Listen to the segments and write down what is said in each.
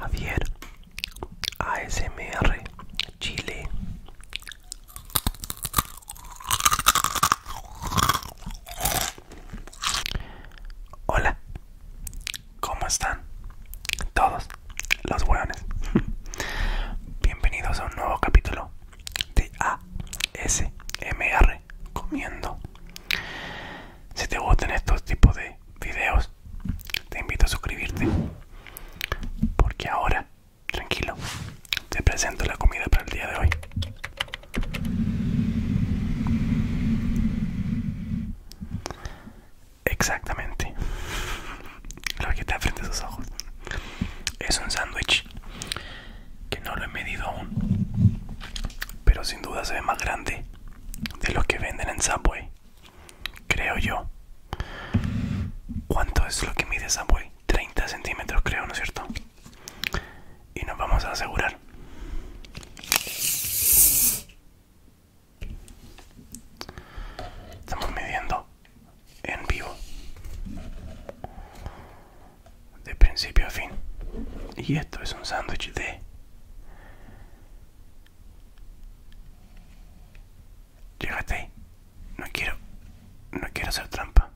Javier ASMR Chile Hola, ¿cómo están? Todos los hueones Bienvenidos a un nuevo capítulo de ASMR Comiendo Si te gustan estos tipos de videos te invito a suscribirte. Porque ahora, tranquilo, te presento la comida para el día de hoy. Exactamente. Lo que está frente a sus ojos. Es un sándwich que no lo he medido aún. Pero sin duda se ve más grande de los que venden en Subway creo yo. ¿Cuánto es lo que mide buey? 30 centímetros, creo, ¿no es cierto? Y nos vamos a asegurar. Estamos midiendo en vivo, de principio a fin. Y esto es un sándwich de Llegate ahí. No quiero. No quiero hacer trampa.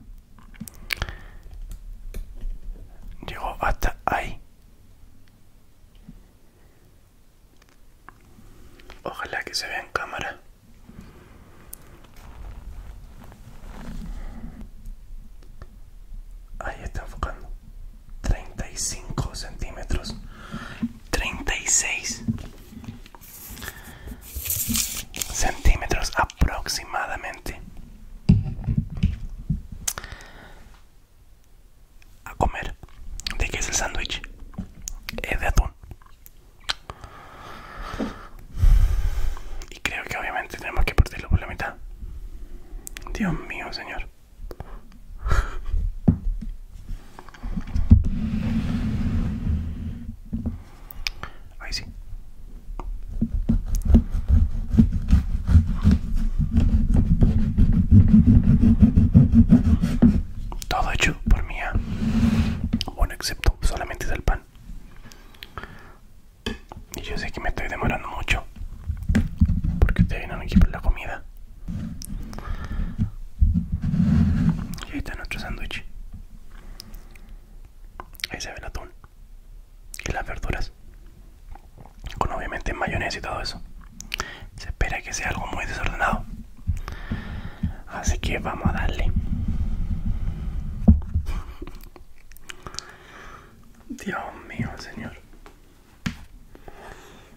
Llegó hasta ahí. Ojalá que se vea en cámara. Ahí está enfocando. 35 centímetros 36 centímetros aproximadamente a comer de qué es el sándwich es de atún y creo que obviamente tenemos que partirlo por la mitad Dios mío señor Ahí sí. Todo hecho por mía. Bueno, excepto solamente del el pan. Y yo sé que me estoy demorando mucho. Porque ustedes vienen aquí por la comida. Y ahí está nuestro sándwich. Ahí se ve el atún. Y las verduras. Con obviamente mayonesa y todo eso. Se espera que sea algo muy desordenado. Así que vamos a darle. Dios mío, señor.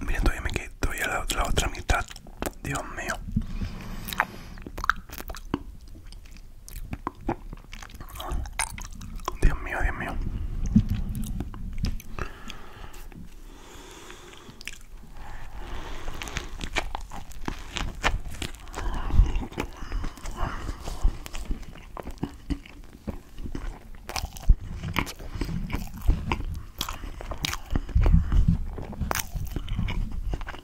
Miren, todavía me queda la otra mitad Dios mío. Dios mío, Dios mío.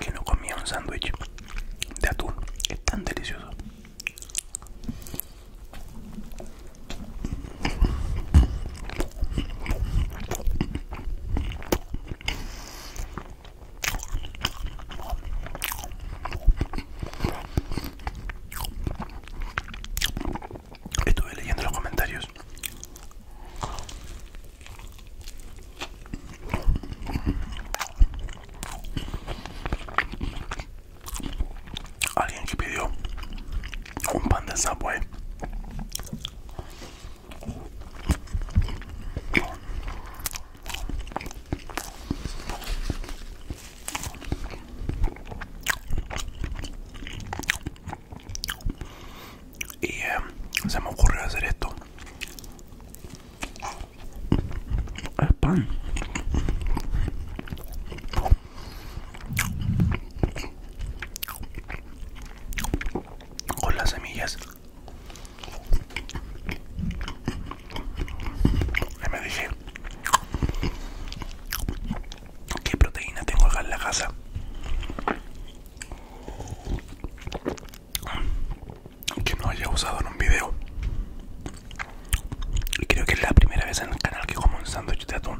que no comía un sándwich de atún es tan delicioso Estuve leyendo los comentarios. Alguien que pidió un pan de Subway. Y eh, se me ocurrió hacer esto. Es pan. Con las semillas. Y me dije, qué proteína tengo acá en la casa. Que no haya usado en un video. Y creo que es la primera vez en el canal que como un sándwich de atún.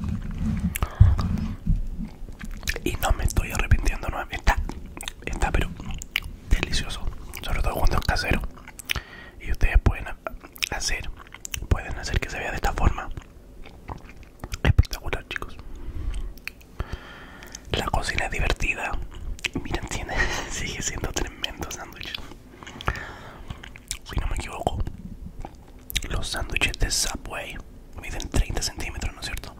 Y no me estoy arrepintiendo, no está, está pero delicioso. Sobre todo cuando es casero. Y ustedes pueden hacer pueden hacer que se vea de esta forma espectacular chicos la cocina es divertida miren tiene sigue siendo tremendo sándwich si no me equivoco los sándwiches de subway miden 30 centímetros no es cierto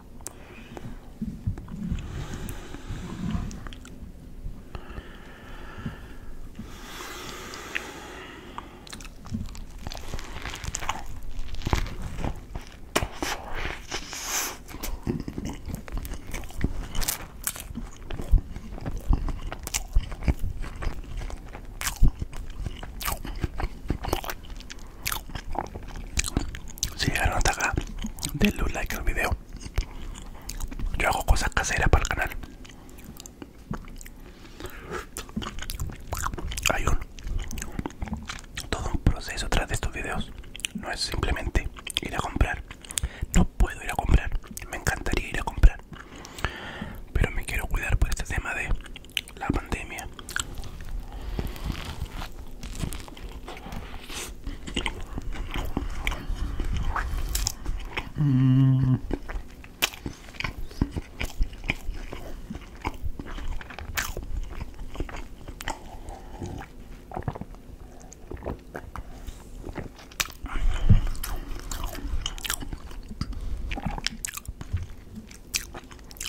si llegaron hasta acá, denle un like al video. Yo hago cosas caseras para el canal. Hay un todo un proceso tras de estos videos. No es simplemente ir a comprar. No puedo ir a comprar. Me encantaría ir a comprar. Pero me quiero cuidar por este tema de la pandemia.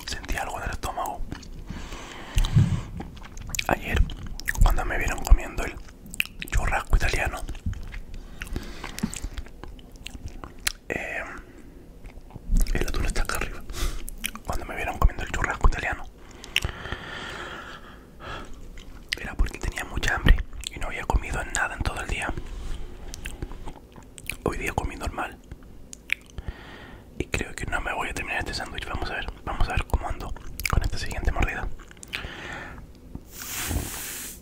Sentí algo en el estómago. Ayer, cuando me vieron comiendo el churrasco italiano, eh, el atún está acá arriba. Cuando me vieron comiendo el churrasco italiano, era porque tenía mucha hambre y no había comido nada en todo el día. Hoy día comí normal. Y creo que no me voy a terminar este sándwich. Vamos a ver, vamos a ver cómo ando con esta siguiente mordida.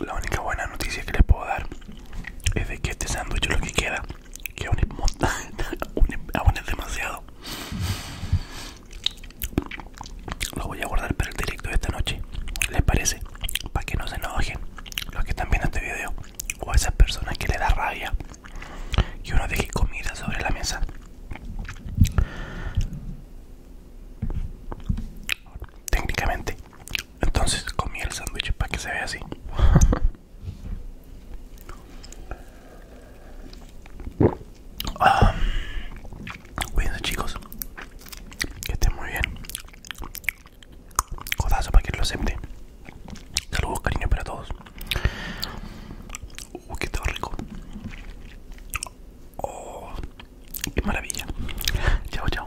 La única buena noticia que les puedo dar es de que este sándwich lo que queda, que aún es, aún es demasiado. Lo voy a guardar para el directo de esta noche, ¿les parece? Para que no se enojen los que están viendo este video o a esas personas que le da rabia que uno deje comida sobre la mesa técnicamente entonces comí el sándwich para que se vea así ah, cuídense chicos que estén muy bien codazo para que lo acepte saludos cariño para todos uh, que está rico Oh, qué maravilla. Chao, chao.